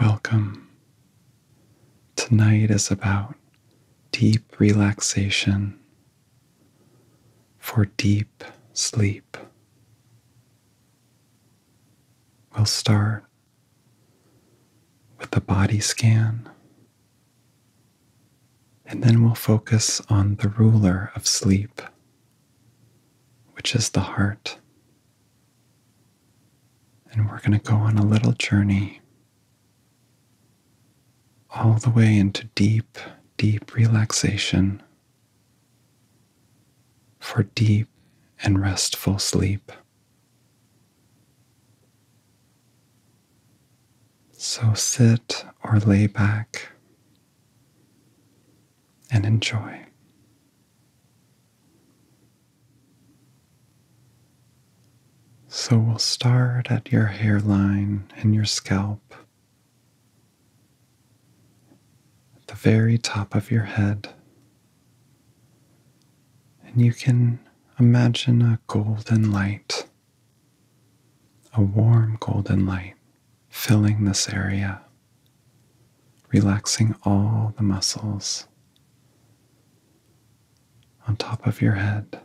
Welcome. Tonight is about deep relaxation for deep sleep. We'll start with a body scan, and then we'll focus on the ruler of sleep, which is the heart. And we're going to go on a little journey all the way into deep, deep relaxation for deep and restful sleep. So sit or lay back and enjoy. So we'll start at your hairline and your scalp, at the very top of your head. And you can imagine a golden light, a warm golden light filling this area relaxing all the muscles on top of your head.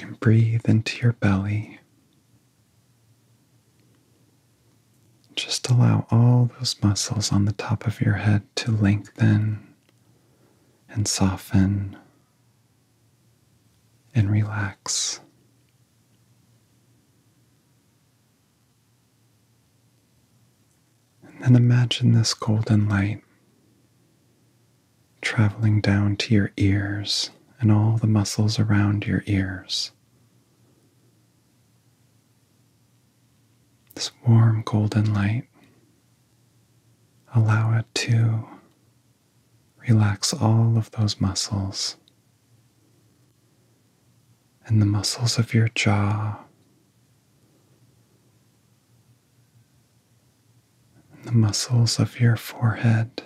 and breathe into your belly. Just allow all those muscles on the top of your head to lengthen and soften and relax. And then imagine this golden light traveling down to your ears and all the muscles around your ears. This warm golden light, allow it to relax all of those muscles in the muscles of your jaw, and the muscles of your forehead.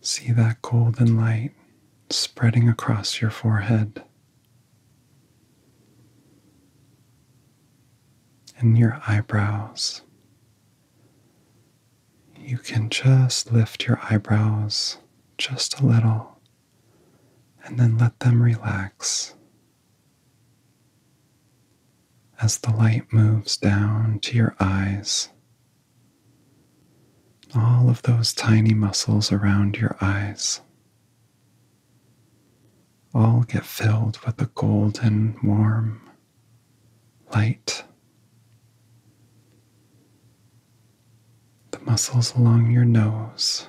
See that golden light spreading across your forehead. And your eyebrows you can just lift your eyebrows just a little and then let them relax as the light moves down to your eyes. All of those tiny muscles around your eyes all get filled with the golden, warm, light. The muscles along your nose,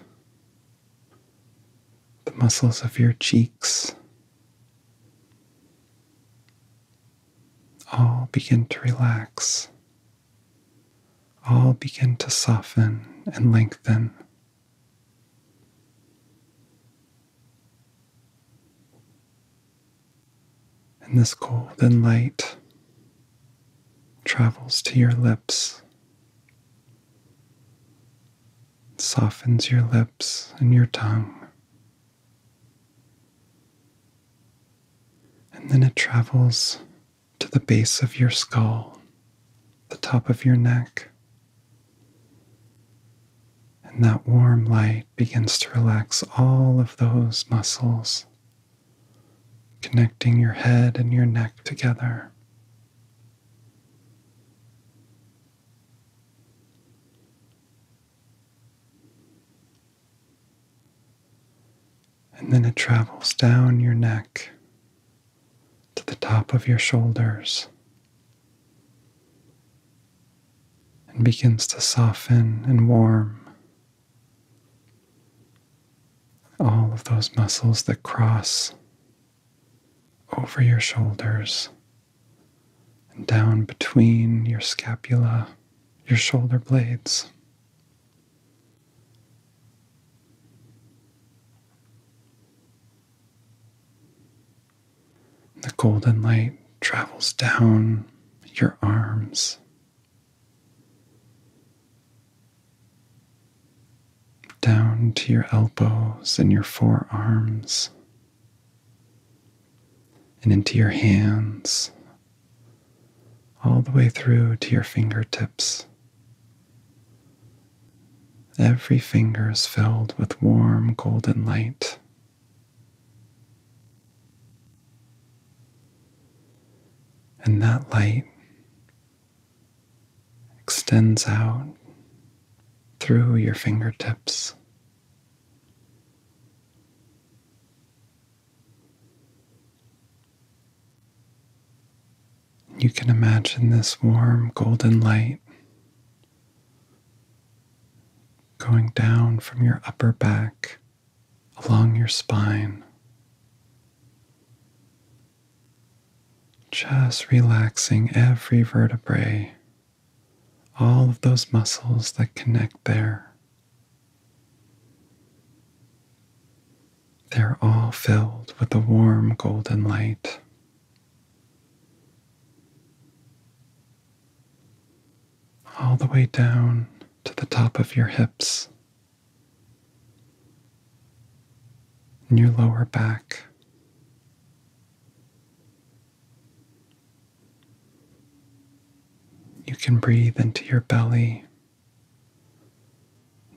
the muscles of your cheeks, all begin to relax, all begin to soften and lengthen. And this golden light travels to your lips, softens your lips and your tongue, and then it travels to the base of your skull, the top of your neck. And that warm light begins to relax all of those muscles, connecting your head and your neck together. And then it travels down your neck to the top of your shoulders, and begins to soften and warm all of those muscles that cross over your shoulders and down between your scapula, your shoulder blades. The golden light travels down your arms. Down to your elbows and your forearms, and into your hands, all the way through to your fingertips. Every finger is filled with warm golden light and that light extends out through your fingertips. You can imagine this warm golden light going down from your upper back along your spine. Just relaxing every vertebrae, all of those muscles that connect there. They're all filled with the warm golden light all the way down to the top of your hips and your lower back. You can breathe into your belly.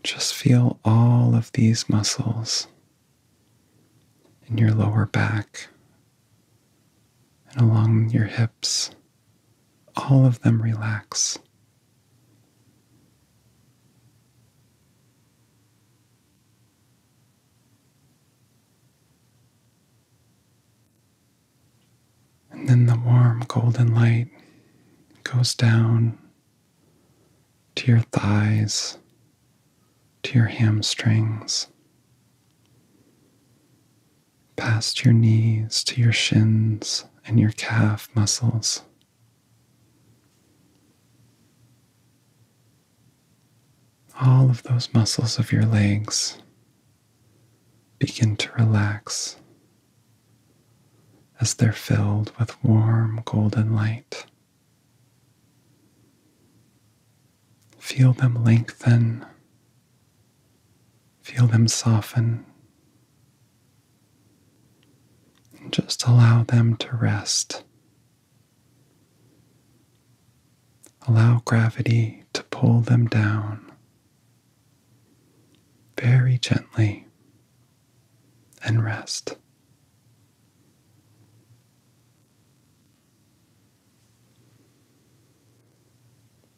Just feel all of these muscles in your lower back and along your hips all of them relax. And then the warm golden light goes down to your thighs, to your hamstrings, past your knees to your shins and your calf muscles. All of those muscles of your legs begin to relax as they're filled with warm golden light. Feel them lengthen Feel them soften. And just allow them to rest. Allow gravity to pull them down very gently and rest.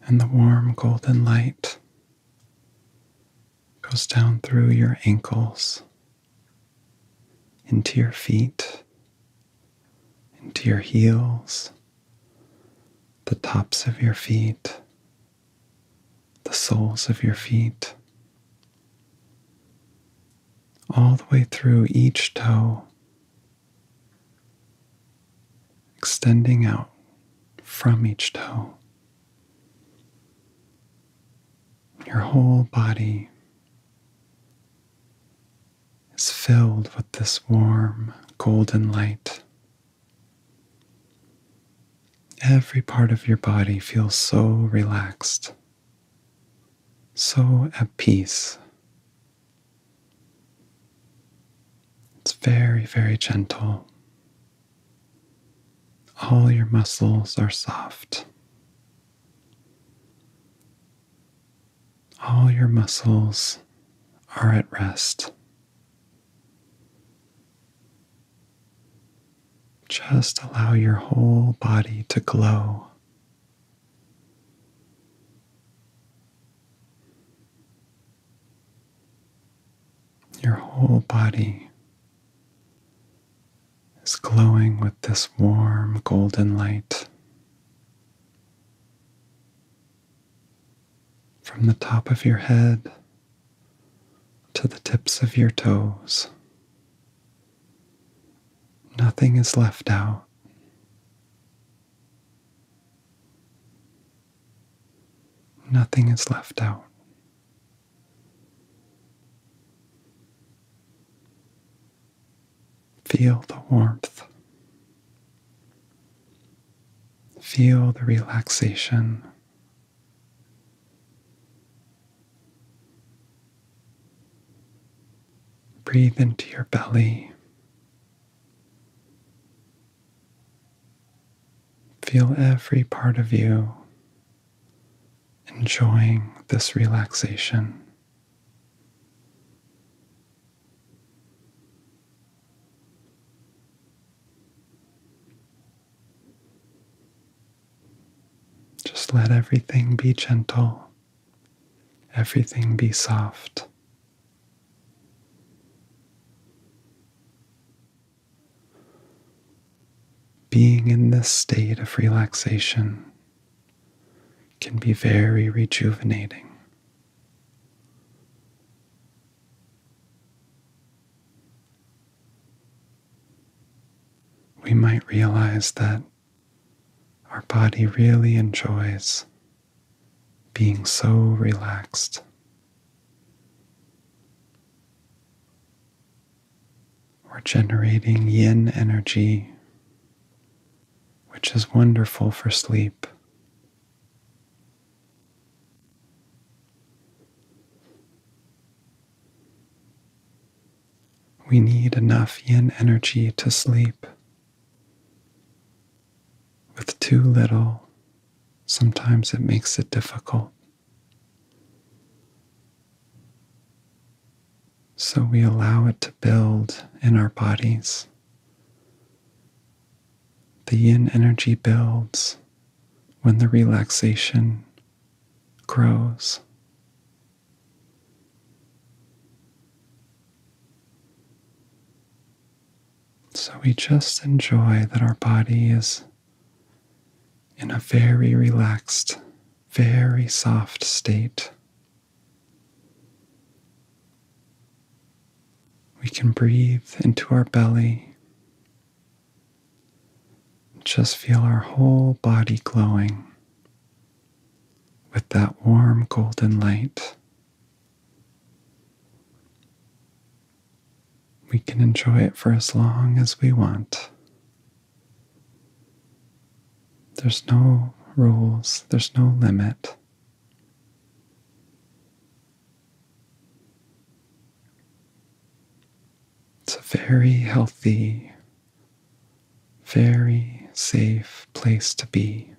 And the warm golden light goes down through your ankles, into your feet, into your heels, the tops of your feet, the soles of your feet, all the way through each toe extending out from each toe. Your whole body is filled with this warm golden light. Every part of your body feels so relaxed, so at peace it's very, very gentle. All your muscles are soft. All your muscles are at rest. Just allow your whole body to glow your whole body is glowing with this warm golden light. From the top of your head to the tips of your toes, nothing is left out. Nothing is left out. Feel the warmth. Feel the relaxation. Breathe into your belly. Feel every part of you enjoying this relaxation. Just let everything be gentle, everything be soft. Being in this state of relaxation can be very rejuvenating. We might realize that our body really enjoys being so relaxed. We're generating yin energy, which is wonderful for sleep. We need enough yin energy to sleep. With too little, sometimes it makes it difficult. So we allow it to build in our bodies. The yin energy builds when the relaxation grows. So we just enjoy that our body is in a very relaxed, very soft state. We can breathe into our belly. Just feel our whole body glowing with that warm golden light we can enjoy it for as long as we want. There's no rules, there's no limit. It's a very healthy, very safe place to be.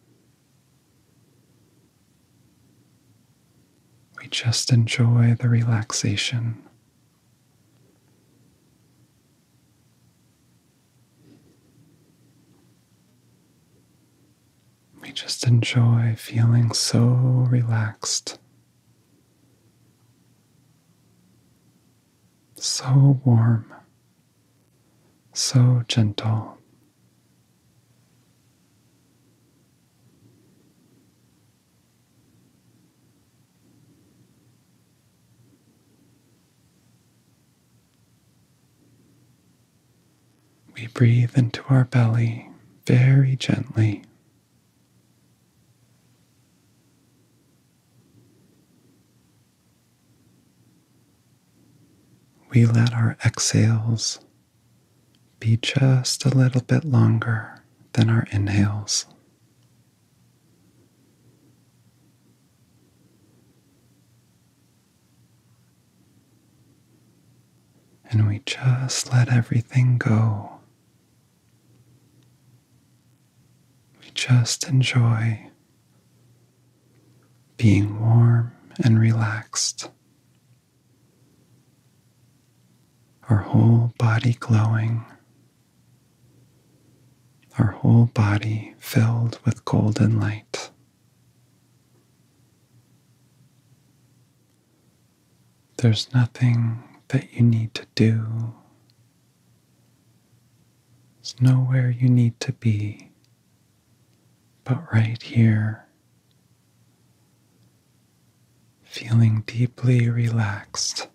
We just enjoy the relaxation. We just enjoy feeling so relaxed, so warm, so gentle. We breathe into our belly very gently we let our exhales be just a little bit longer than our inhales. And we just let everything go. We just enjoy being warm and relaxed, our whole body glowing, our whole body filled with golden light. There's nothing that you need to do. There's nowhere you need to be but right here, feeling deeply relaxed,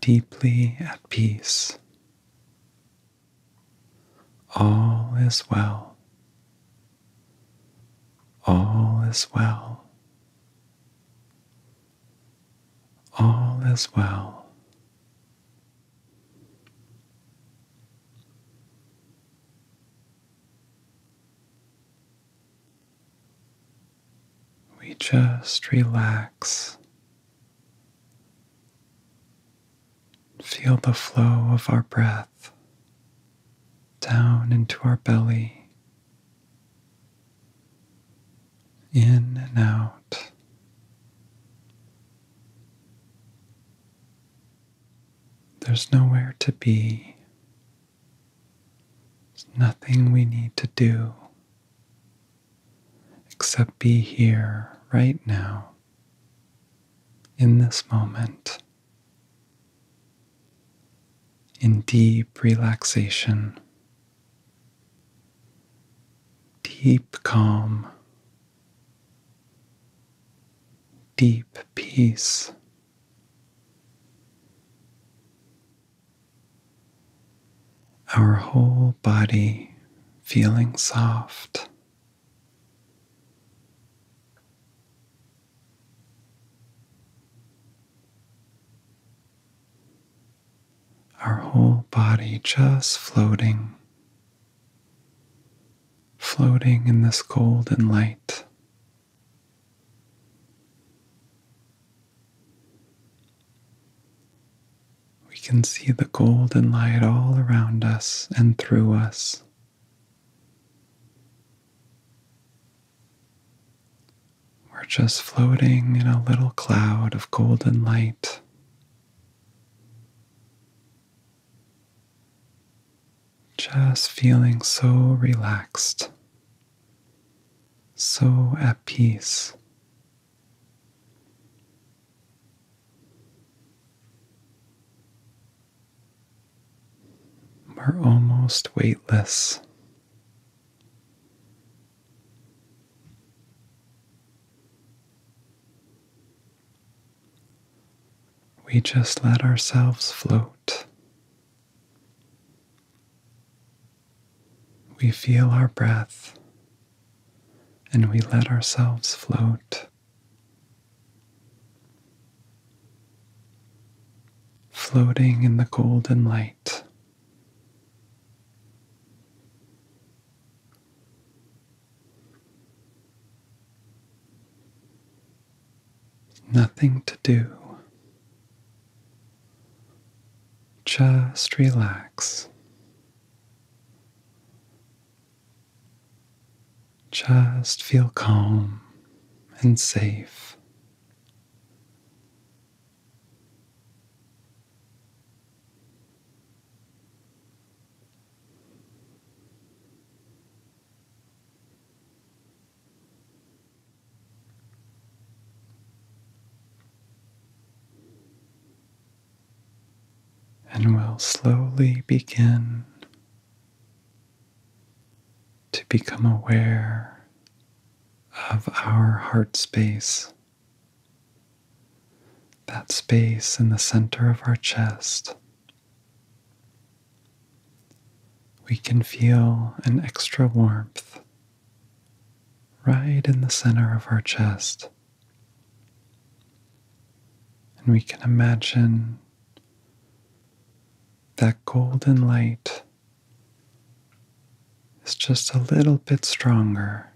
deeply at peace. All is well. All is well. All is well. We just relax. Feel the flow of our breath down into our belly, in and out. There's nowhere to be. There's nothing we need to do except be here right now in this moment in deep relaxation, deep calm, deep peace. Our whole body feeling soft. Our whole body just floating floating in this golden light. We can see the golden light all around us and through us. We're just floating in a little cloud of golden light. Just feeling so relaxed, so at peace. We're almost weightless. We just let ourselves float. We feel our breath and we let ourselves float. Floating in the golden light. Nothing to do. Just relax. Just feel calm and safe. And we will slowly begin to become aware of our heart space, that space in the center of our chest we can feel an extra warmth right in the center of our chest. And we can imagine that golden light is just a little bit stronger,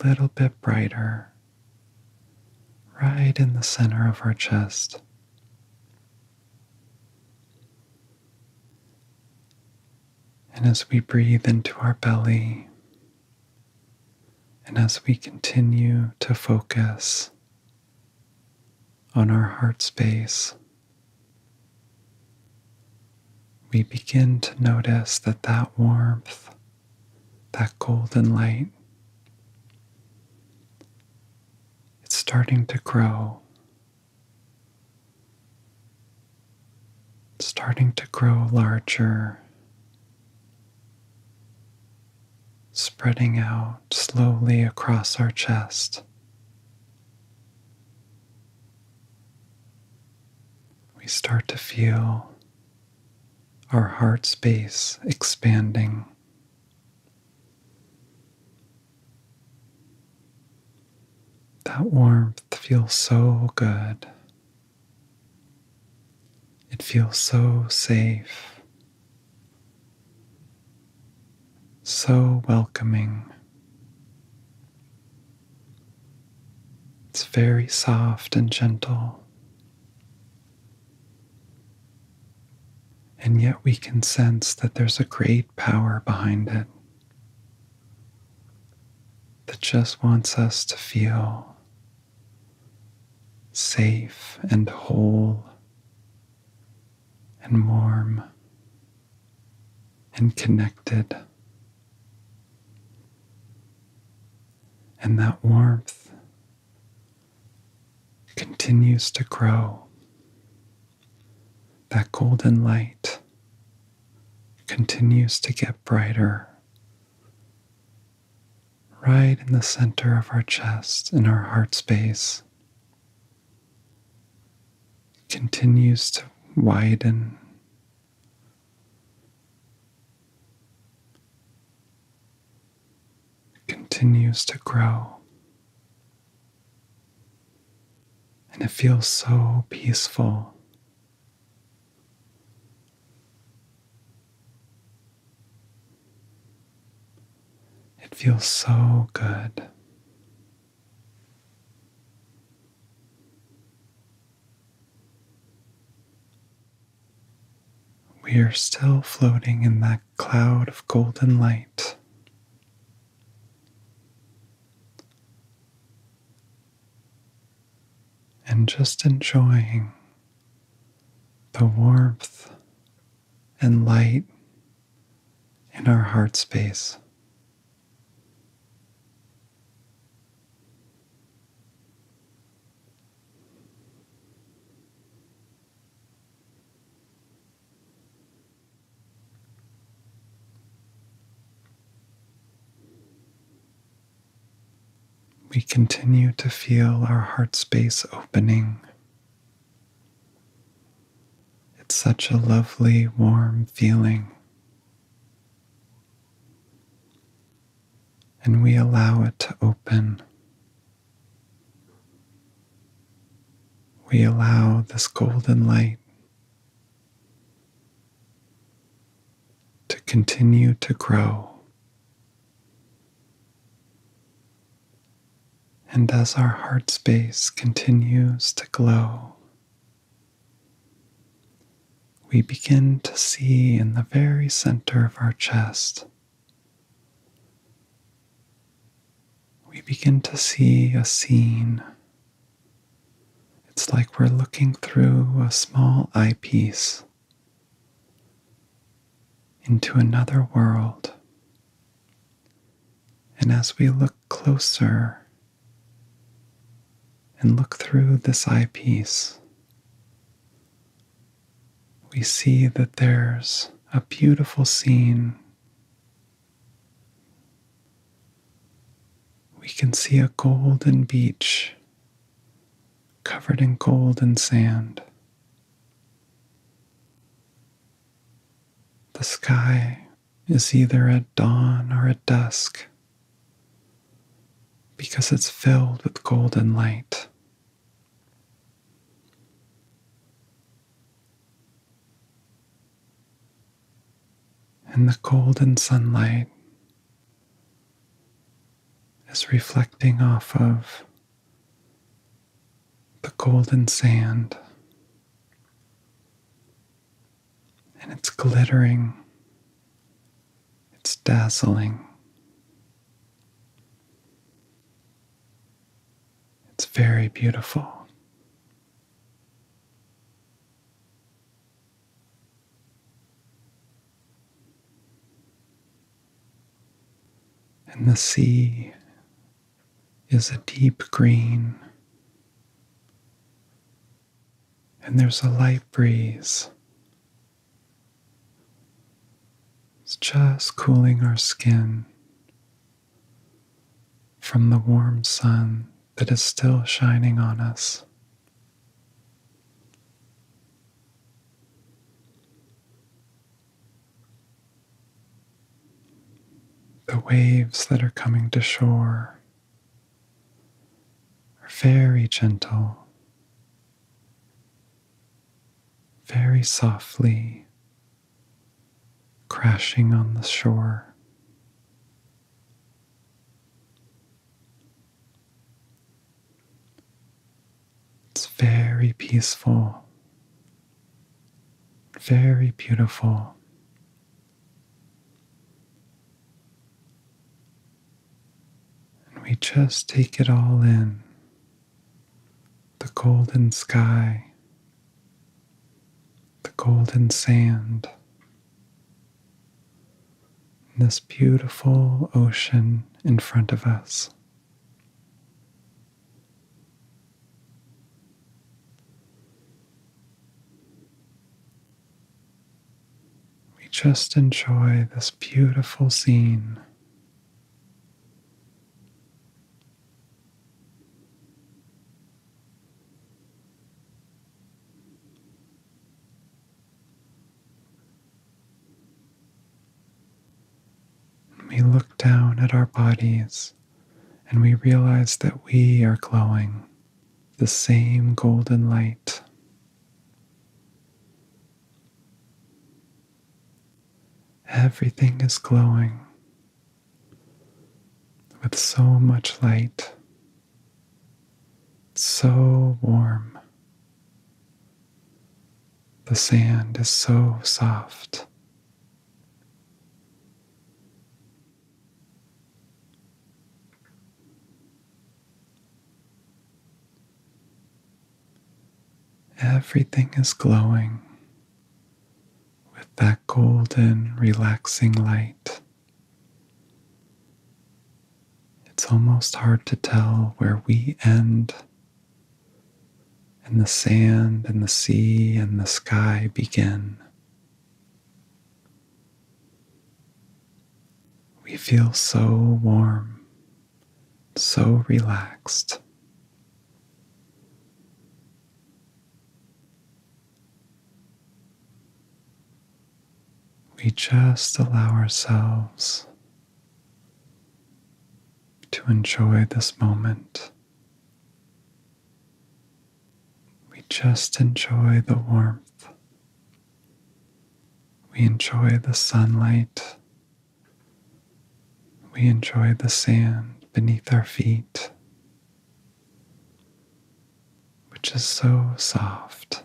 a little bit brighter right in the center of our chest. And as we breathe into our belly, and as we continue to focus on our heart space, we begin to notice that that warmth that golden light. It's starting to grow, starting to grow larger, spreading out slowly across our chest. We start to feel our heart space expanding. That warmth feels so good. It feels so safe, so welcoming. It's very soft and gentle. And yet we can sense that there's a great power behind it that just wants us to feel safe and whole and warm and connected. And that warmth continues to grow. That golden light continues to get brighter right in the center of our chest, in our heart space, continues to widen continues to grow. And it feels so peaceful. It feels so good. We are still floating in that cloud of golden light. And just enjoying the warmth and light in our heart space. We continue to feel our heart space opening. It's such a lovely, warm feeling and we allow it to open. We allow this golden light to continue to grow. And as our heart space continues to glow, we begin to see in the very center of our chest we begin to see a scene. It's like we're looking through a small eyepiece into another world. And as we look closer and look through this eyepiece, we see that there's a beautiful scene. We can see a golden beach covered in golden sand. The sky is either at dawn or at dusk because it's filled with golden light. And the golden sunlight is reflecting off of the golden sand and it's glittering it's dazzling. It's very beautiful. And the sea is a deep green. And there's a light breeze it's just cooling our skin from the warm sun that is still shining on us. The waves that are coming to shore are very gentle very softly crashing on the shore. It's very peaceful, very beautiful and we just take it all in the golden sky, the golden sand, this beautiful ocean in front of us. We Just enjoy this beautiful scene. We look down at our bodies and we realize that we are glowing the same golden light. Everything is glowing with so much light, so warm. The sand is so soft. Everything is glowing with that golden, relaxing light. It's almost hard to tell where we end and the sand and the sea and the sky begin. We feel so warm so relaxed. We just allow ourselves to enjoy this moment. We just enjoy the warmth. We enjoy the sunlight we enjoy the sand beneath our feet, which is so soft.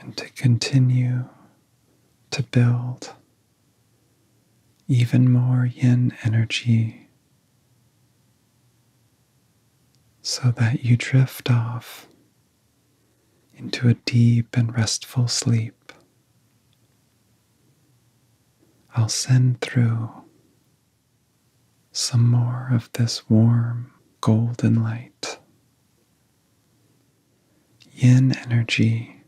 and to continue to build even more yin energy so that you drift off into a deep and restful sleep. I'll send through some more of this warm golden light. Yin energy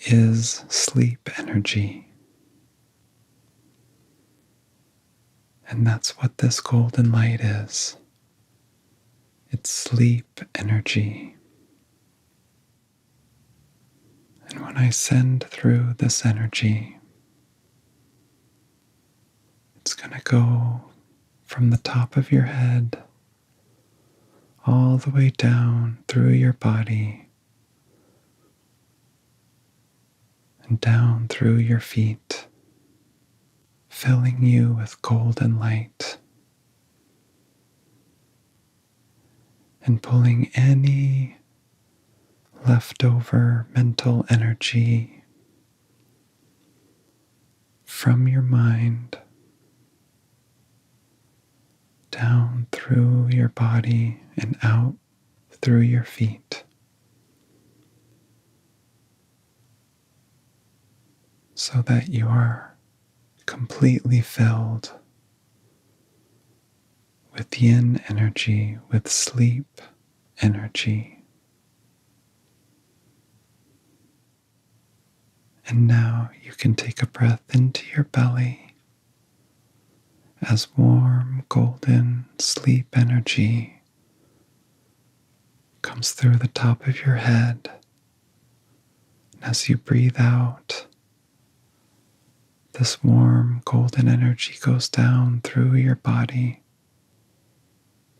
is sleep energy. And that's what this golden light is. It's sleep energy. And when I send through this energy, it's going to go from the top of your head all the way down through your body and down through your feet, filling you with golden light and pulling any leftover mental energy from your mind down through your body and out through your feet. So that you are completely filled with yin energy, with sleep energy. And now you can take a breath into your belly as warm, golden sleep energy comes through the top of your head. And as you breathe out, this warm golden energy goes down through your body,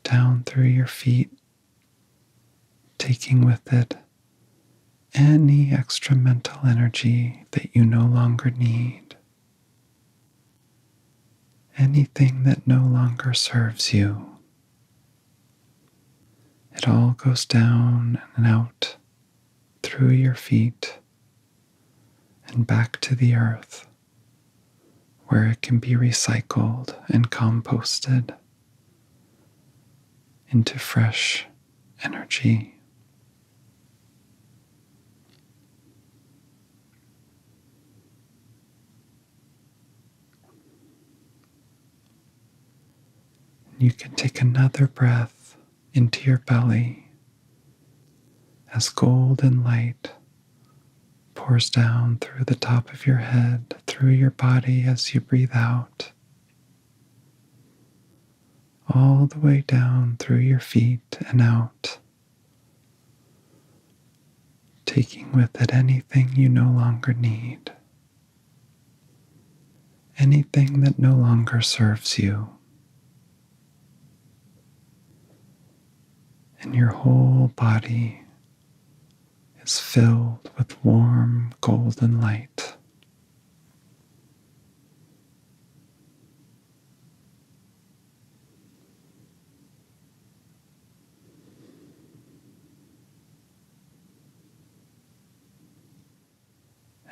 down through your feet, taking with it any extra mental energy that you no longer need, anything that no longer serves you. It all goes down and out through your feet and back to the earth, where it can be recycled and composted into fresh energy. You can take another breath into your belly as golden light pours down through the top of your head, through your body as you breathe out, all the way down through your feet and out, taking with it anything you no longer need anything that no longer serves you. And your whole body is filled with warm golden light.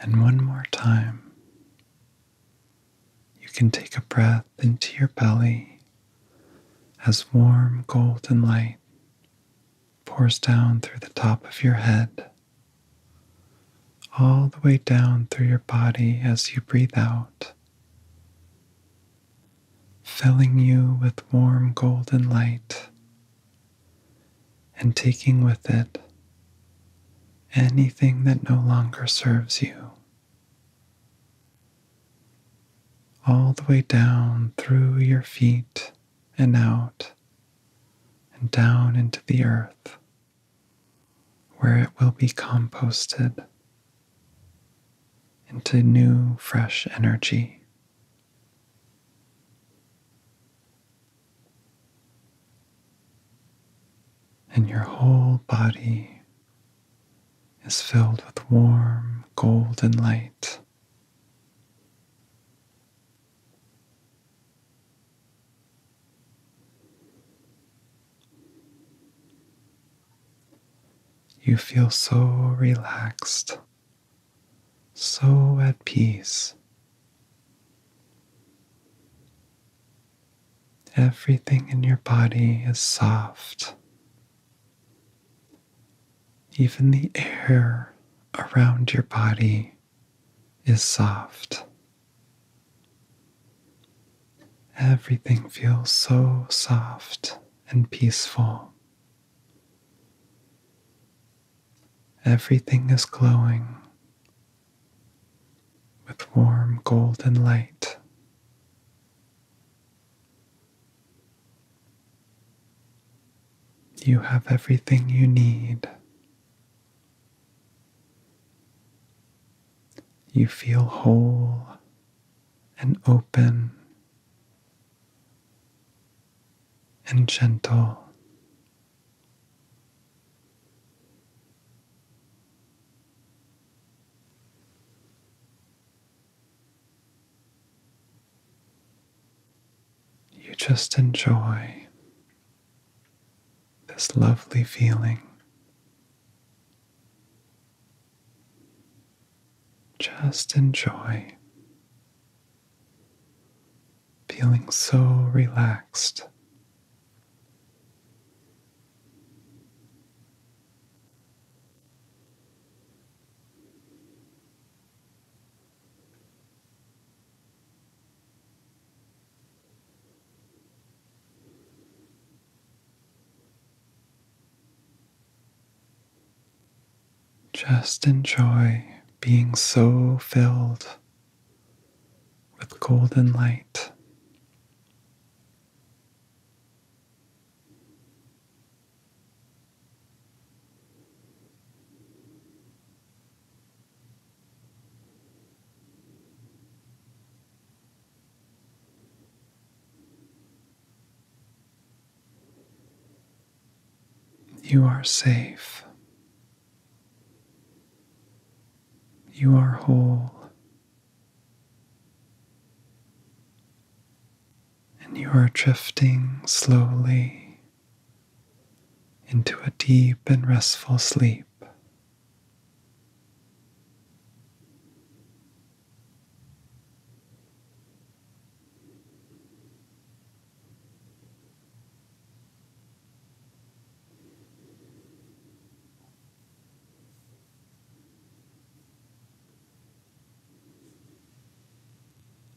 And one more time, you can take a breath into your belly as warm golden light pours down through the top of your head, all the way down through your body as you breathe out, filling you with warm golden light and taking with it anything that no longer serves you, all the way down through your feet and out and down into the earth, where it will be composted into new, fresh energy and your whole body is filled with warm golden light. You feel so relaxed, so at peace Everything in your body is soft. Even the air around your body is soft. Everything feels so soft and peaceful. Everything is glowing with warm golden light. You have everything you need. You feel whole and open and gentle. You just enjoy this lovely feeling. Just enjoy feeling so relaxed. Just enjoy being so filled with golden light. You are safe. You are whole. And you are drifting slowly into a deep and restful sleep.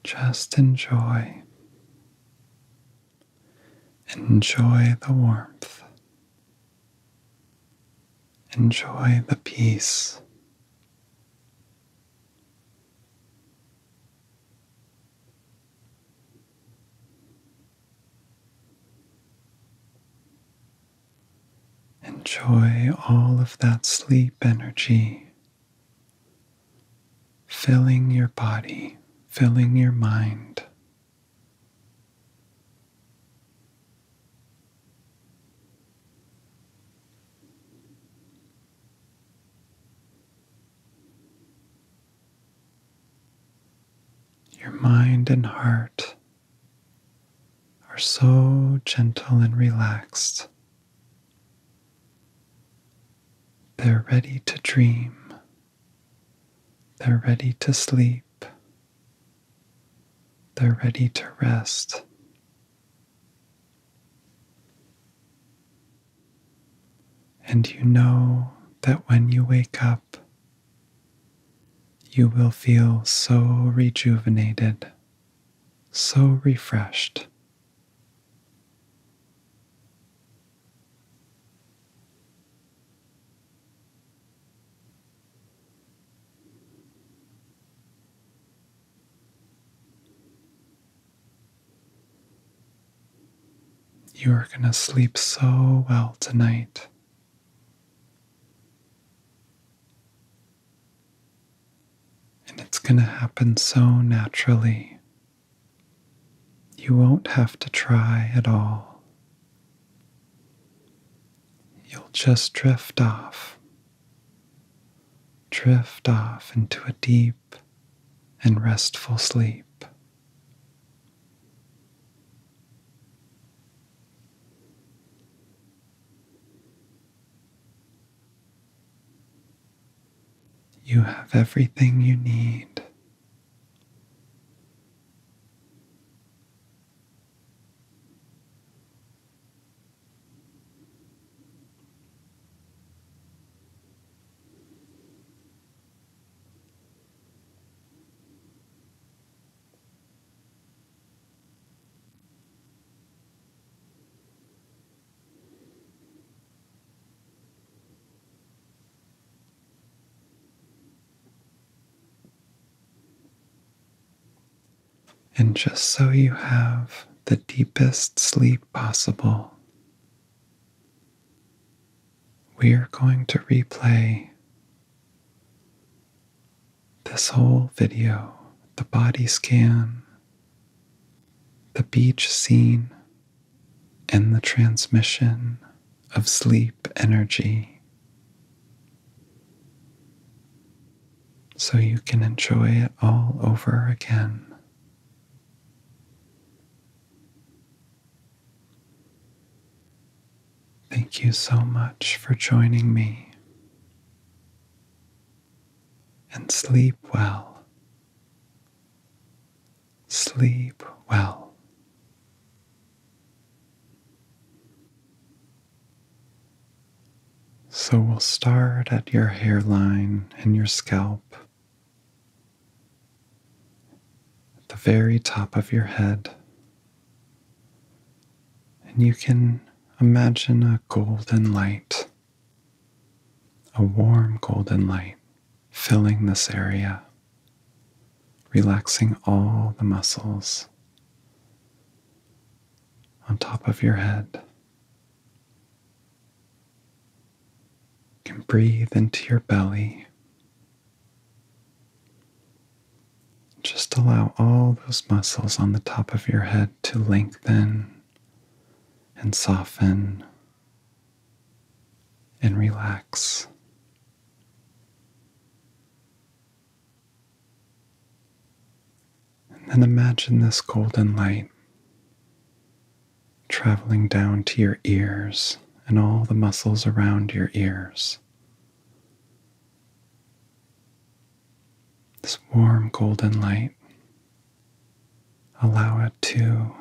Just enjoy. Enjoy the warmth. Enjoy the peace. Enjoy all of that sleep energy filling your body, filling your mind. Your mind and heart are so gentle and relaxed. They're ready to dream. They're ready to sleep. They're ready to rest. And you know that when you wake up, you will feel so rejuvenated, so refreshed. You are going to sleep so well tonight. And it's going to happen so naturally. You won't have to try at all. You'll just drift off, drift off into a deep, and restful sleep. You have everything you need. And just so you have the deepest sleep possible, we are going to replay this whole video the body scan, the beach scene, and the transmission of sleep energy. So you can enjoy it all over again. Thank you so much for joining me. And sleep well. Sleep well. So we'll start at your hairline and your scalp at the very top of your head. And you can imagine a golden light, a warm golden light filling this area, relaxing all the muscles on top of your head. You can breathe into your belly. Just allow all those muscles on the top of your head to lengthen and soften and relax. And then imagine this golden light traveling down to your ears and all the muscles around your ears. This warm golden light, allow it to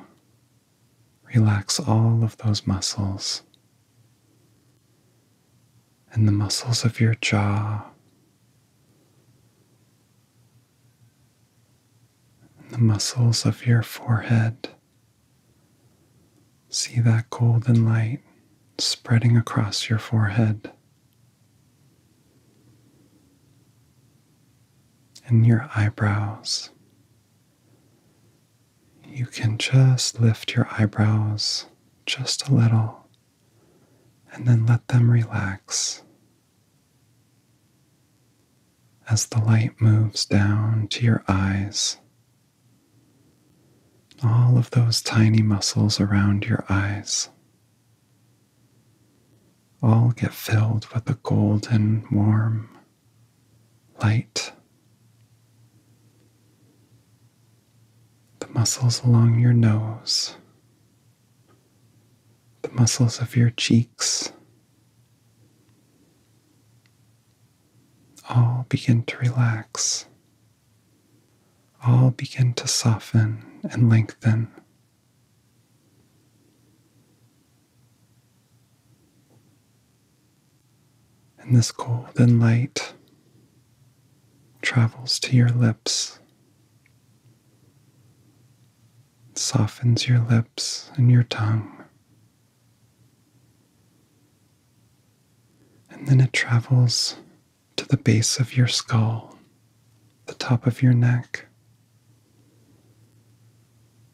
relax all of those muscles and the muscles of your jaw the muscles of your forehead. See that golden light spreading across your forehead. And your eyebrows. You can just lift your eyebrows just a little and then let them relax as the light moves down to your eyes. All of those tiny muscles around your eyes all get filled with the golden, warm light. The muscles along your nose, the muscles of your cheeks all begin to relax. All begin to soften and lengthen. And this golden light travels to your lips, softens your lips and your tongue, and then it travels to the base of your skull, the top of your neck.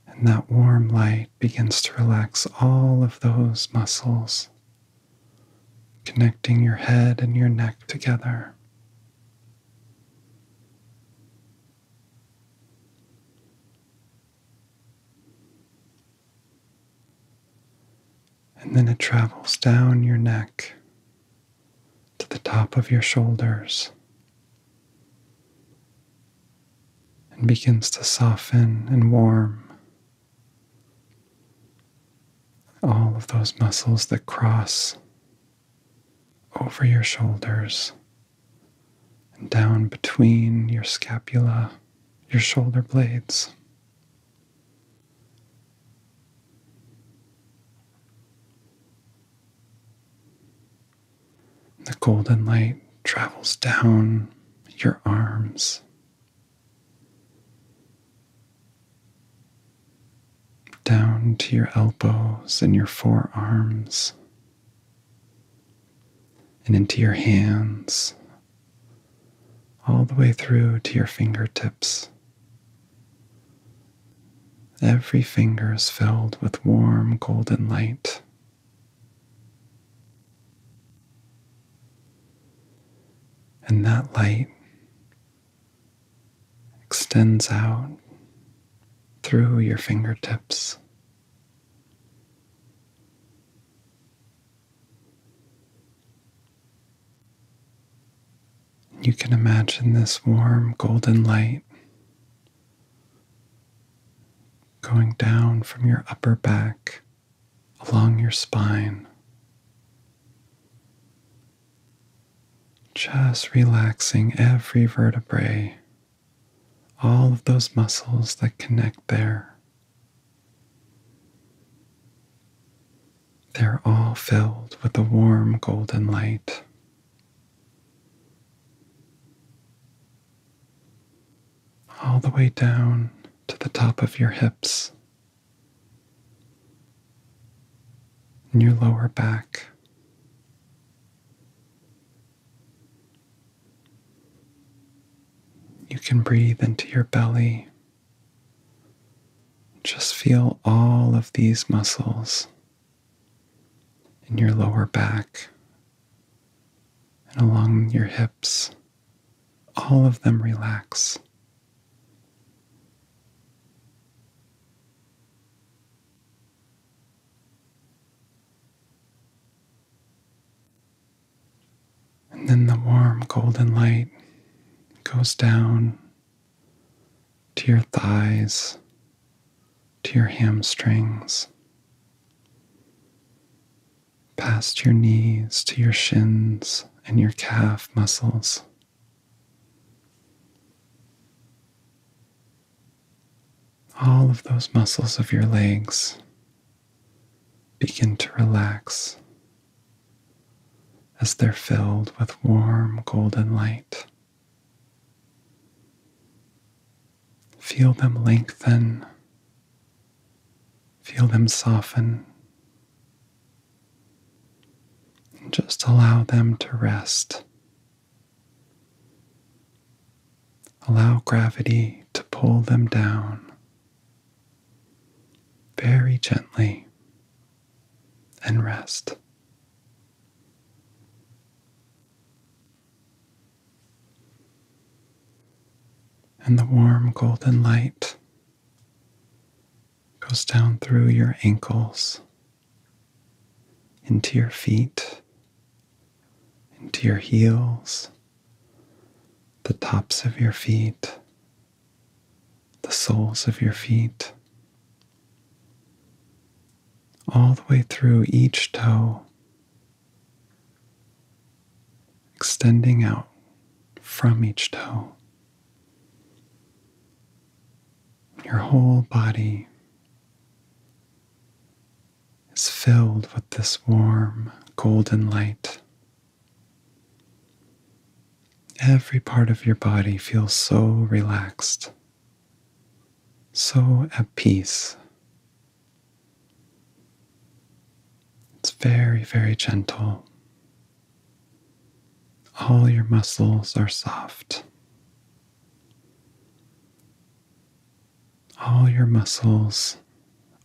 And that warm light begins to relax all of those muscles, connecting your head and your neck together. And then it travels down your neck to the top of your shoulders and begins to soften and warm all of those muscles that cross over your shoulders and down between your scapula, your shoulder blades. The golden light travels down your arms, down to your elbows and your forearms and into your hands, all the way through to your fingertips. Every finger is filled with warm golden light. And that light extends out through your fingertips you can imagine this warm golden light going down from your upper back along your spine. Just relaxing every vertebrae all of those muscles that connect there. They're all filled with the warm golden light. All the way down to the top of your hips and your lower back. You can breathe into your belly. Just feel all of these muscles in your lower back and along your hips. All of them relax. And then the warm golden light goes down to your thighs, to your hamstrings, past your knees, to your shins and your calf muscles all of those muscles of your legs begin to relax as they're filled with warm golden light. Feel them lengthen, feel them soften, and just allow them to rest Allow gravity to pull them down very gently and rest. And the warm golden light goes down through your ankles into your feet into your heels, the tops of your feet, the soles of your feet, all the way through each toe, extending out from each toe. Your whole body is filled with this warm golden light. Every part of your body feels so relaxed, so at peace. It's very, very gentle. All your muscles are soft. All your muscles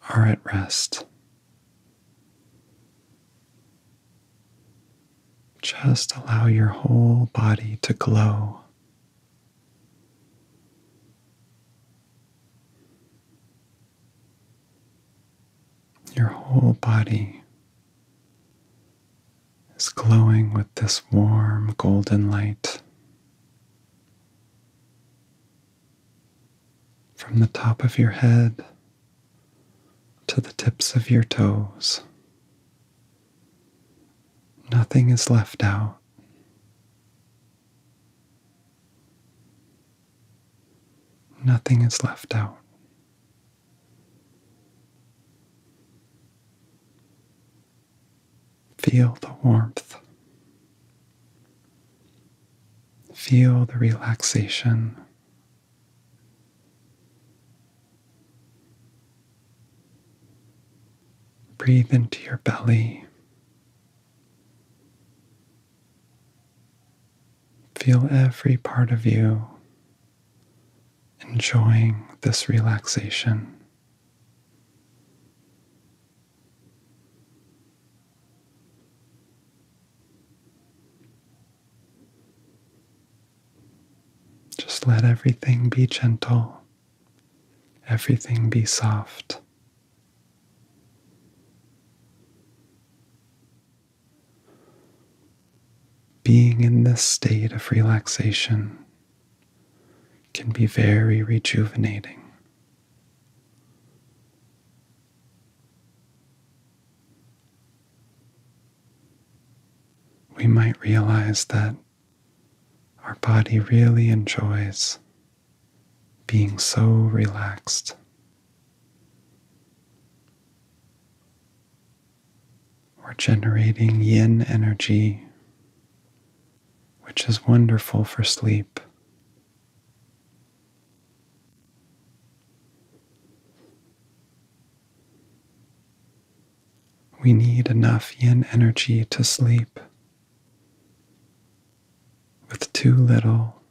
are at rest. Just allow your whole body to glow. Your whole body is glowing with this warm golden light from the top of your head to the tips of your toes. Nothing is left out. Nothing is left out. Feel the warmth. Feel the relaxation. Breathe into your belly. Feel every part of you enjoying this relaxation. Just let everything be gentle, everything be soft. Being in this state of relaxation can be very rejuvenating. We might realize that our body really enjoys being so relaxed. We're generating yin energy which is wonderful for sleep. We need enough yin energy to sleep. With too little,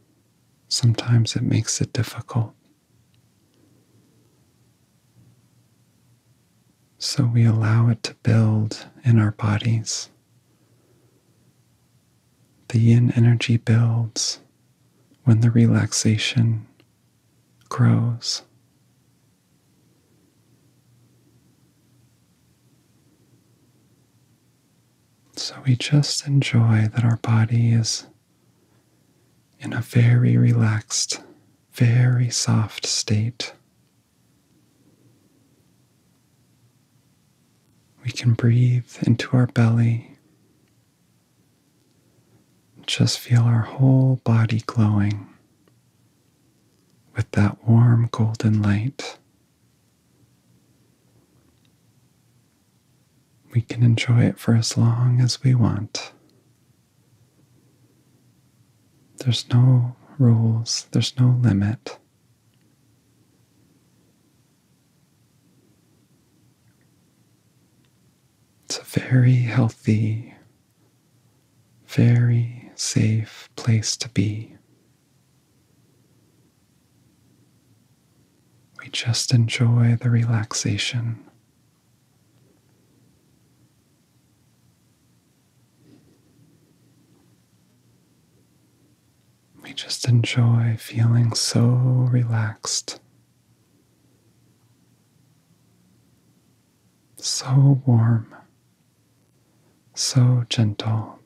sometimes it makes it difficult so we allow it to build in our bodies. The yin energy builds when the relaxation grows. So we just enjoy that our body is in a very relaxed, very soft state. We can breathe into our belly. Just feel our whole body glowing with that warm golden light. We can enjoy it for as long as we want. There's no rules, there's no limit. It's a very healthy, very safe place to be. We just enjoy the relaxation. We just enjoy feeling so relaxed, so warm, so gentle.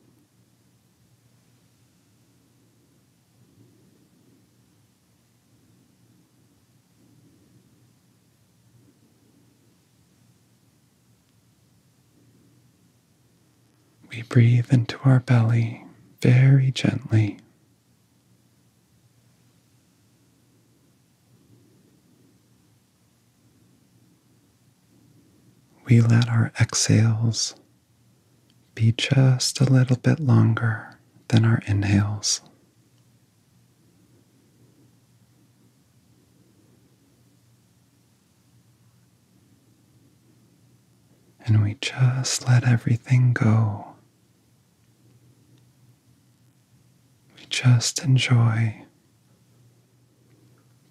We breathe into our belly very gently. We let our exhales be just a little bit longer than our inhales. And we just let everything go. We just enjoy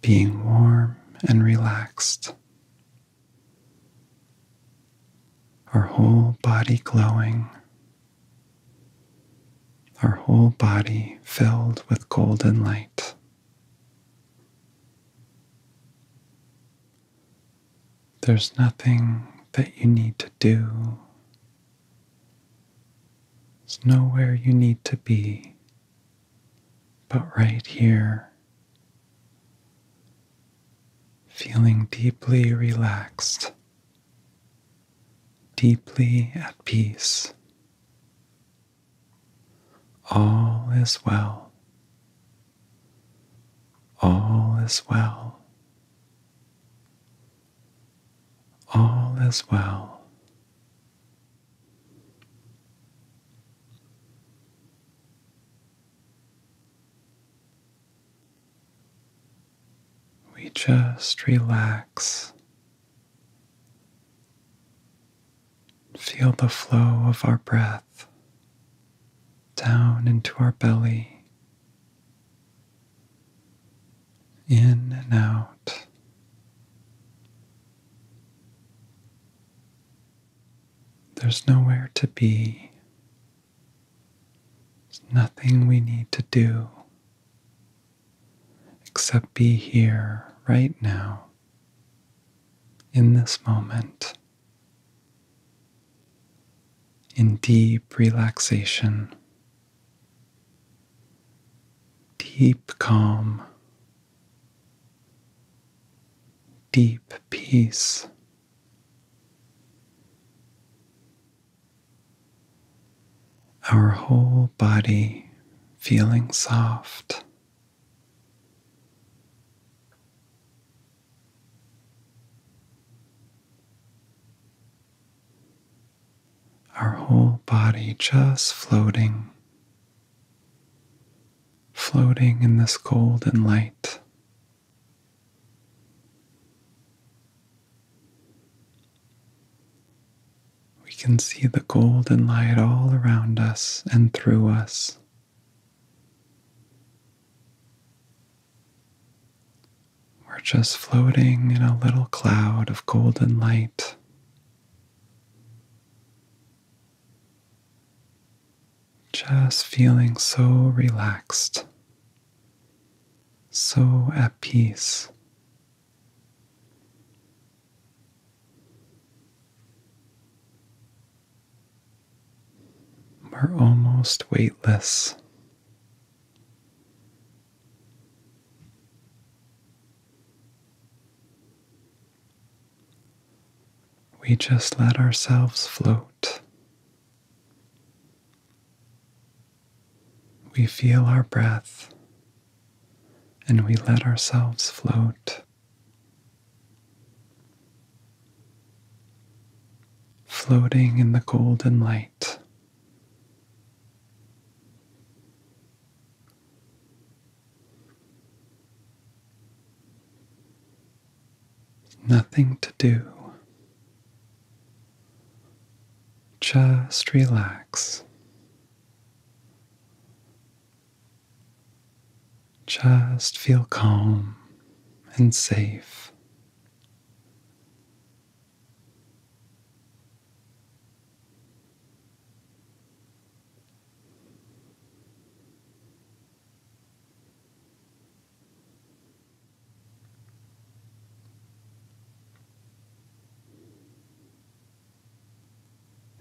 being warm and relaxed, our whole body glowing our whole body filled with golden light. There's nothing that you need to do. There's nowhere you need to be, but right here, feeling deeply relaxed, deeply at peace all is well. All is well. All is well. We just relax Feel the flow of our breath down into our belly, in and out. There's nowhere to be. There's nothing we need to do except be here right now, in this moment, in deep relaxation, deep calm, deep peace our whole body feeling soft. Our whole body just floating, floating in this golden light. We can see the golden light all around us and through us. We're just floating in a little cloud of golden light. Just feeling so relaxed, so at peace. We're almost weightless. We just let ourselves float. We feel our breath and we let ourselves float. Floating in the golden light. Nothing to do. Just relax. Just feel calm and safe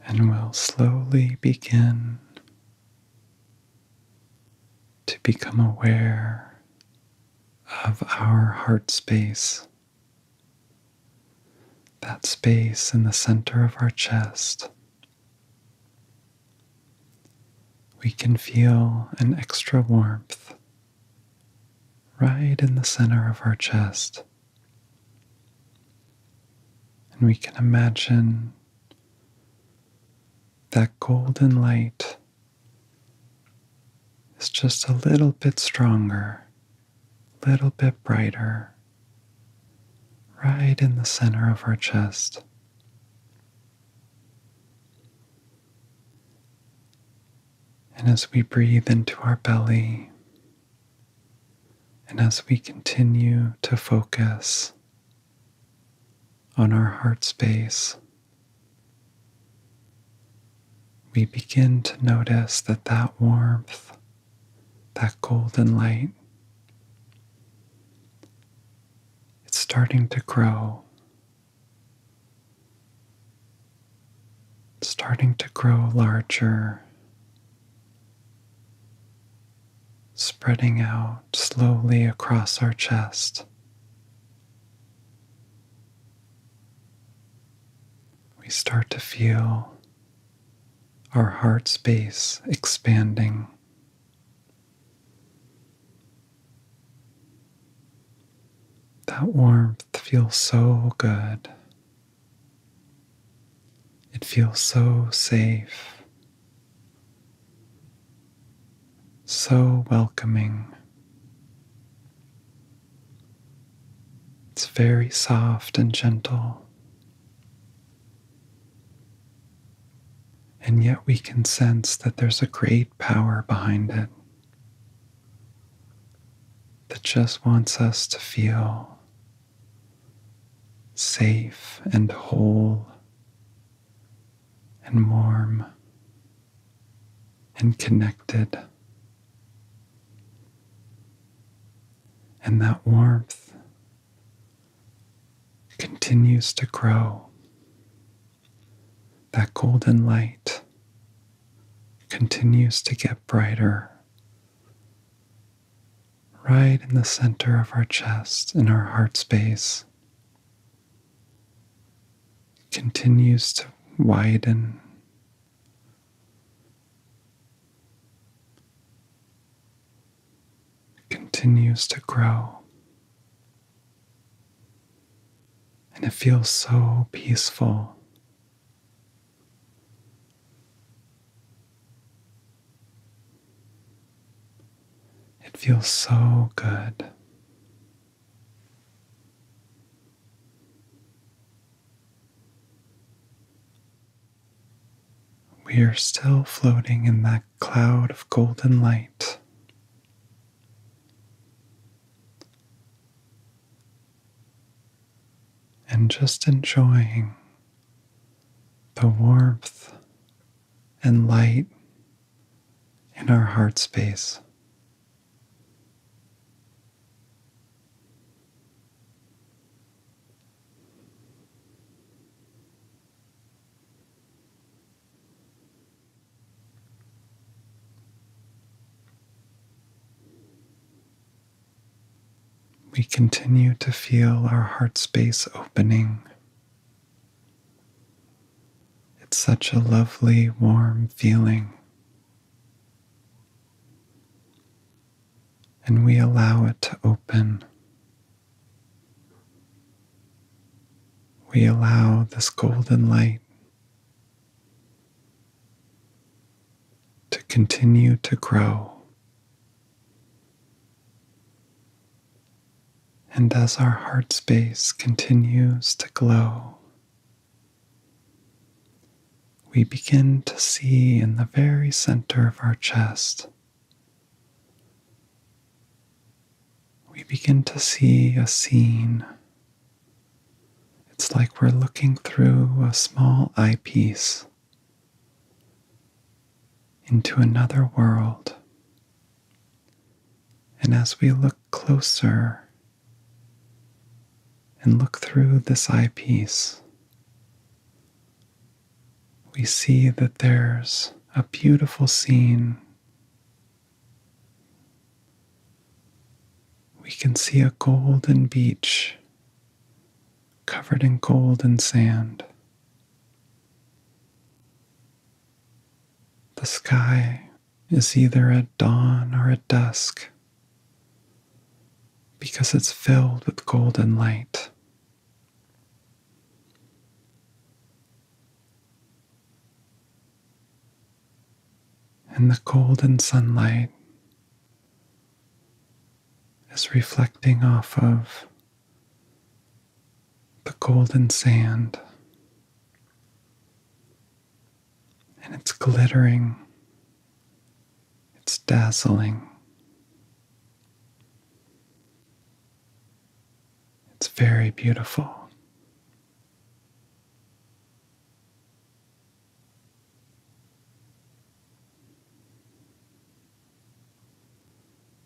and we will slowly begin to become aware of our heart space, that space in the center of our chest. We can feel an extra warmth right in the center of our chest. And we can imagine that golden light is just a little bit stronger, a little bit brighter, right in the center of our chest. And as we breathe into our belly, and as we continue to focus on our heart space, we begin to notice that that warmth, that golden light, it's starting to grow starting to grow larger, spreading out slowly across our chest. We start to feel our heart space expanding. That warmth it feels so good. It feels so safe, so welcoming. It's very soft and gentle. And yet we can sense that there's a great power behind it that just wants us to feel safe and whole and warm and connected. And that warmth continues to grow. That golden light continues to get brighter right in the center of our chest, in our heart space, continues to widen. continues to grow. And it feels so peaceful it feels so good. We are still floating in that cloud of golden light and just enjoying the warmth and light in our heart space. We continue to feel our heart space opening. It's such a lovely, warm feeling. And we allow it to open. We allow this golden light to continue to grow. And as our heart space continues to glow, we begin to see in the very center of our chest, we begin to see a scene it's like we're looking through a small eyepiece into another world. And as we look closer and look through this eyepiece, we see that there's a beautiful scene we can see a golden beach covered in gold and sand. The sky is either a dawn or a dusk because it's filled with golden light. And the golden sunlight is reflecting off of the golden sand and it's glittering, it's dazzling. It's very beautiful.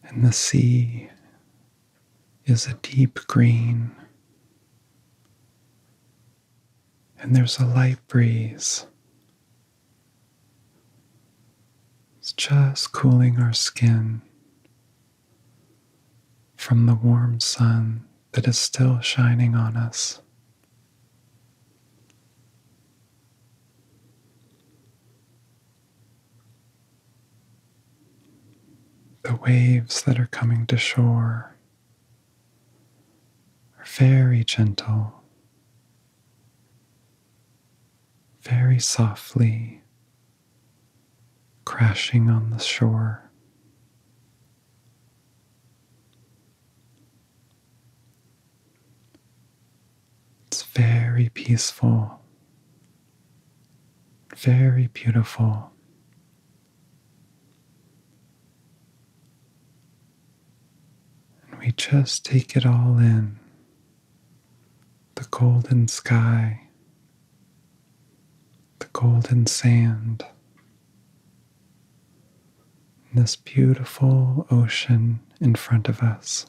And the sea is a deep green, and there's a light breeze. It's just cooling our skin from the warm sun that is still shining on us. The waves that are coming to shore are very gentle, very softly crashing on the shore. It's very peaceful, very beautiful. And we just take it all in the golden sky, the golden sand, this beautiful ocean in front of us.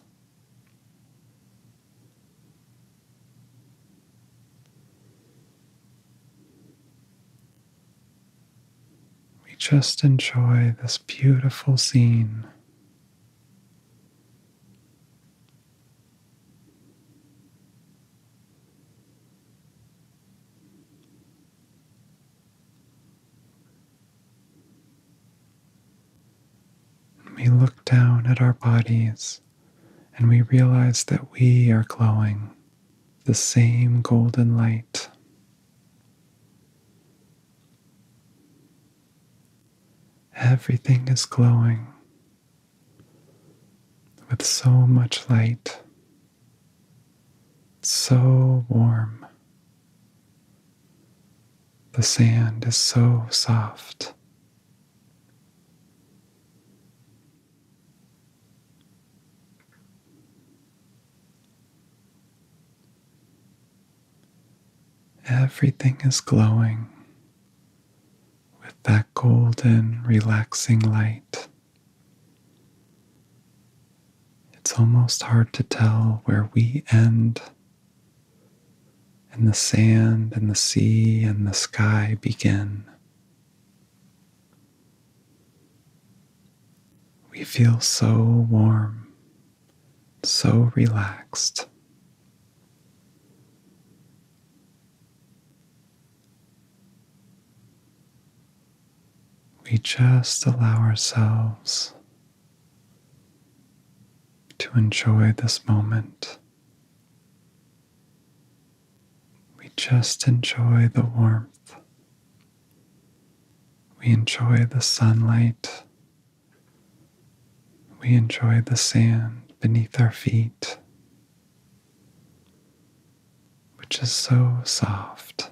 We just enjoy this beautiful scene. We look down at our bodies and we realize that we are glowing the same golden light. Everything is glowing with so much light so warm. The sand is so soft. Everything is glowing with that golden, relaxing light. It's almost hard to tell where we end and the sand and the sea and the sky begin. We feel so warm, so relaxed we just allow ourselves to enjoy this moment. We just enjoy the warmth. We enjoy the sunlight. We enjoy the sand beneath our feet, which is so soft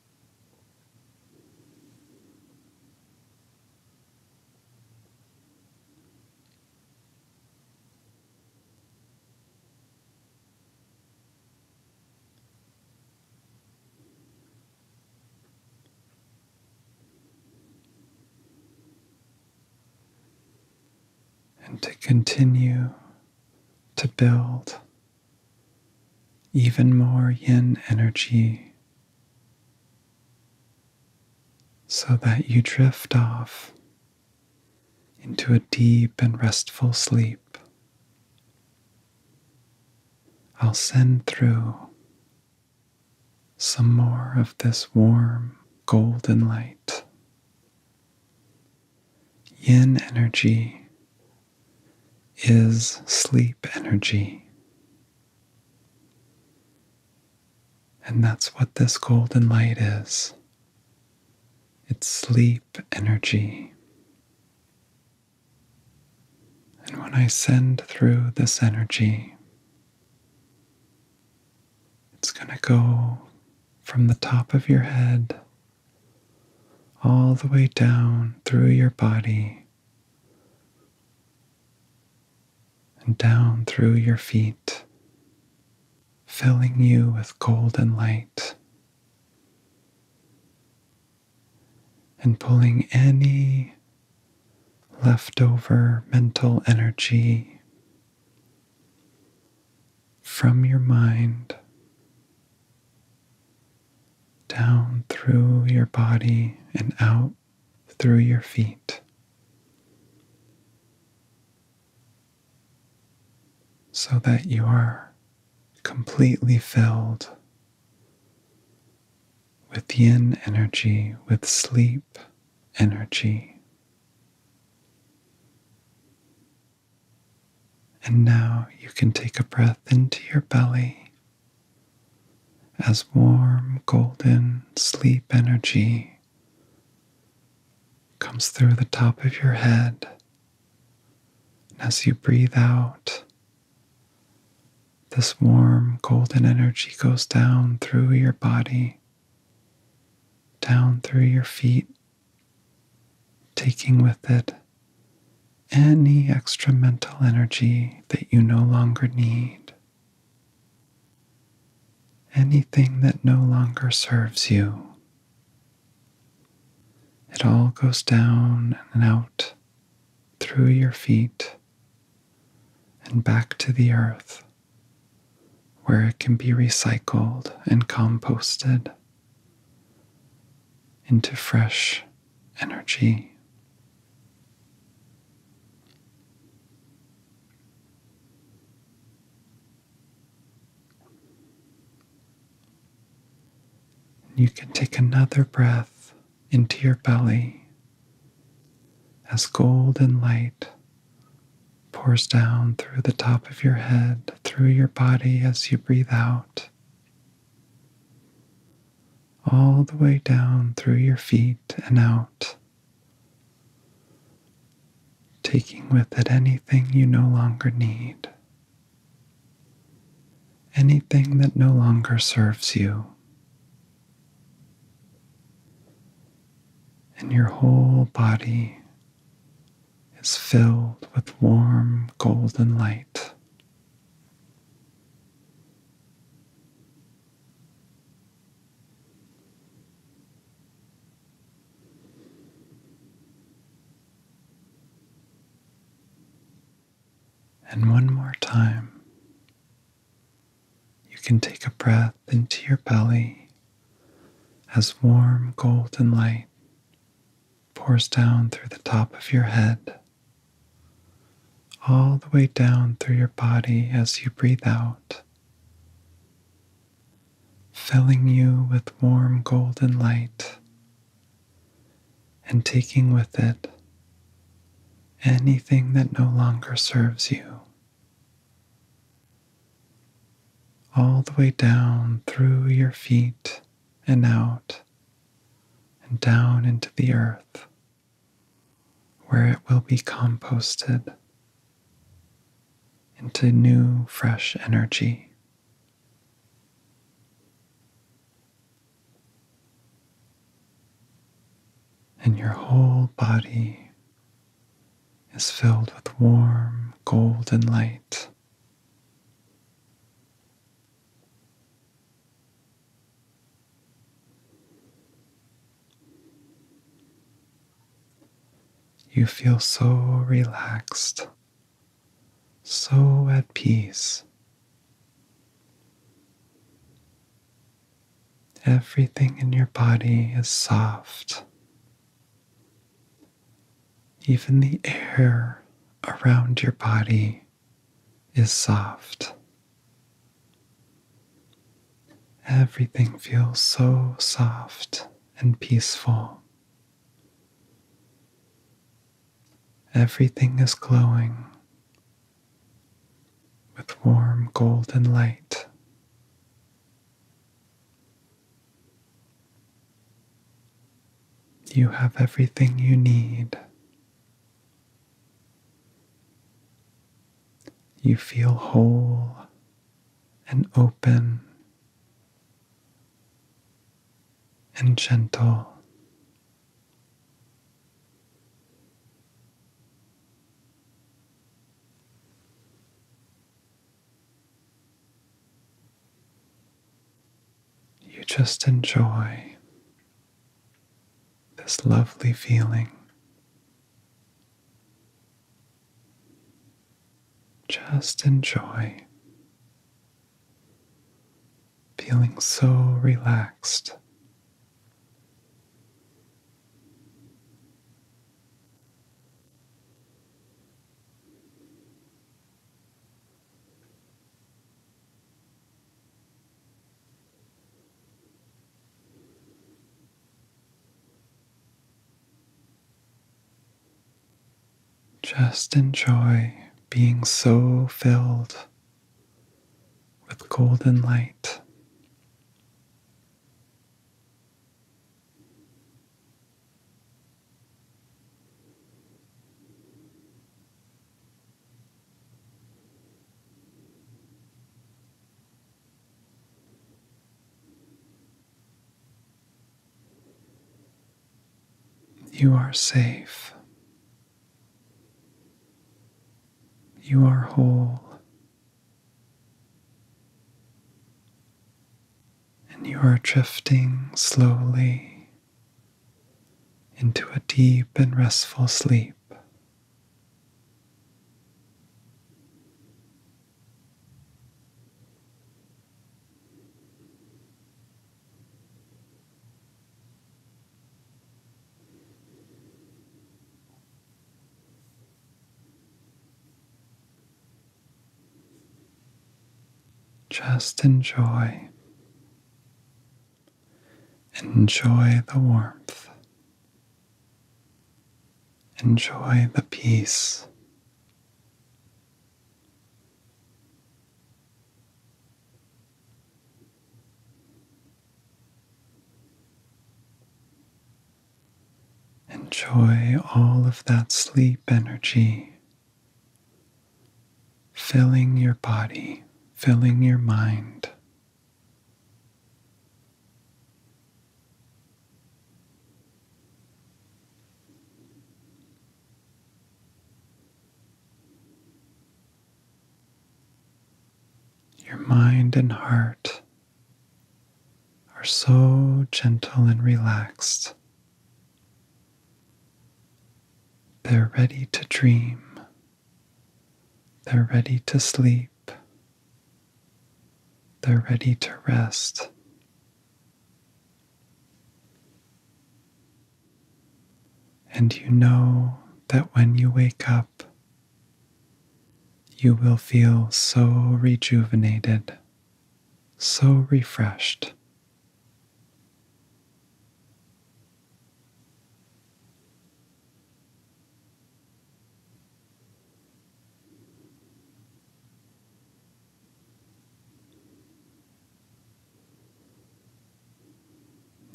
and to continue to build even more yin energy so that you drift off into a deep and restful sleep. I'll send through some more of this warm golden light. Yin energy is sleep energy. And that's what this golden light is. It's sleep energy. And when I send through this energy, it's going to go from the top of your head all the way down through your body and down through your feet, filling you with golden light and pulling any leftover mental energy from your mind down through your body and out through your feet. So that you are completely filled with yin energy, with sleep energy. And now you can take a breath into your belly as warm, golden sleep energy comes through the top of your head. And as you breathe out, this warm, golden energy goes down through your body, down through your feet taking with it any extra mental energy that you no longer need, anything that no longer serves you. It all goes down and out through your feet and back to the earth, where it can be recycled and composted into fresh energy. You can take another breath into your belly as golden light pours down through the top of your head, through your body as you breathe out all the way down through your feet and out, taking with it anything you no longer need, anything that no longer serves you. And your whole body is filled with warm golden light. And one more time, you can take a breath into your belly as warm golden light pours down through the top of your head, all the way down through your body as you breathe out, filling you with warm golden light and taking with it anything that no longer serves you. All the way down through your feet and out and down into the earth, where it will be composted into new, fresh energy. And your whole body is filled with warm golden light. You feel so relaxed, so at peace. Everything in your body is soft even the air around your body is soft. Everything feels so soft and peaceful. Everything is glowing with warm golden light. You have everything you need. You feel whole and open and gentle. You just enjoy this lovely feeling. Just enjoy feeling so relaxed. Just enjoy being so filled with golden light. You are safe. You are whole. And you are drifting slowly into a deep and restful sleep. Just enjoy Enjoy the warmth. Enjoy the peace. Enjoy all of that sleep energy filling your body, filling your mind. Your mind and heart are so gentle and relaxed. They're ready to dream. They're ready to sleep. They're ready to rest. And you know that when you wake up, you will feel so rejuvenated, so refreshed,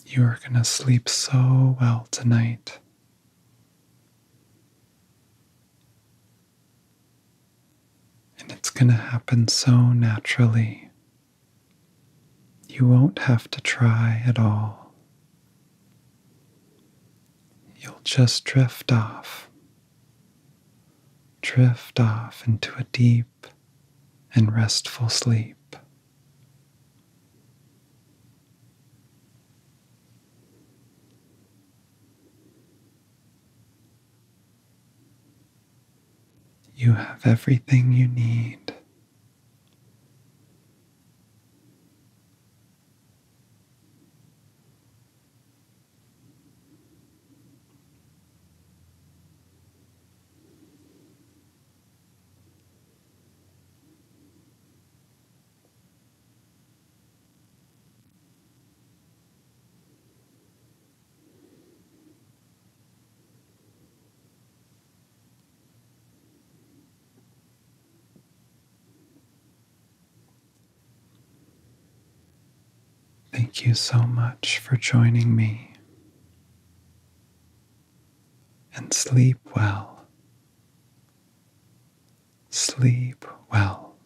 you are going to sleep so well tonight. And it's going to happen so naturally. You won't have to try at all. You'll just drift off, drift off into a deep and restful sleep. You have everything you need. Thank you so much for joining me and sleep well. Sleep well.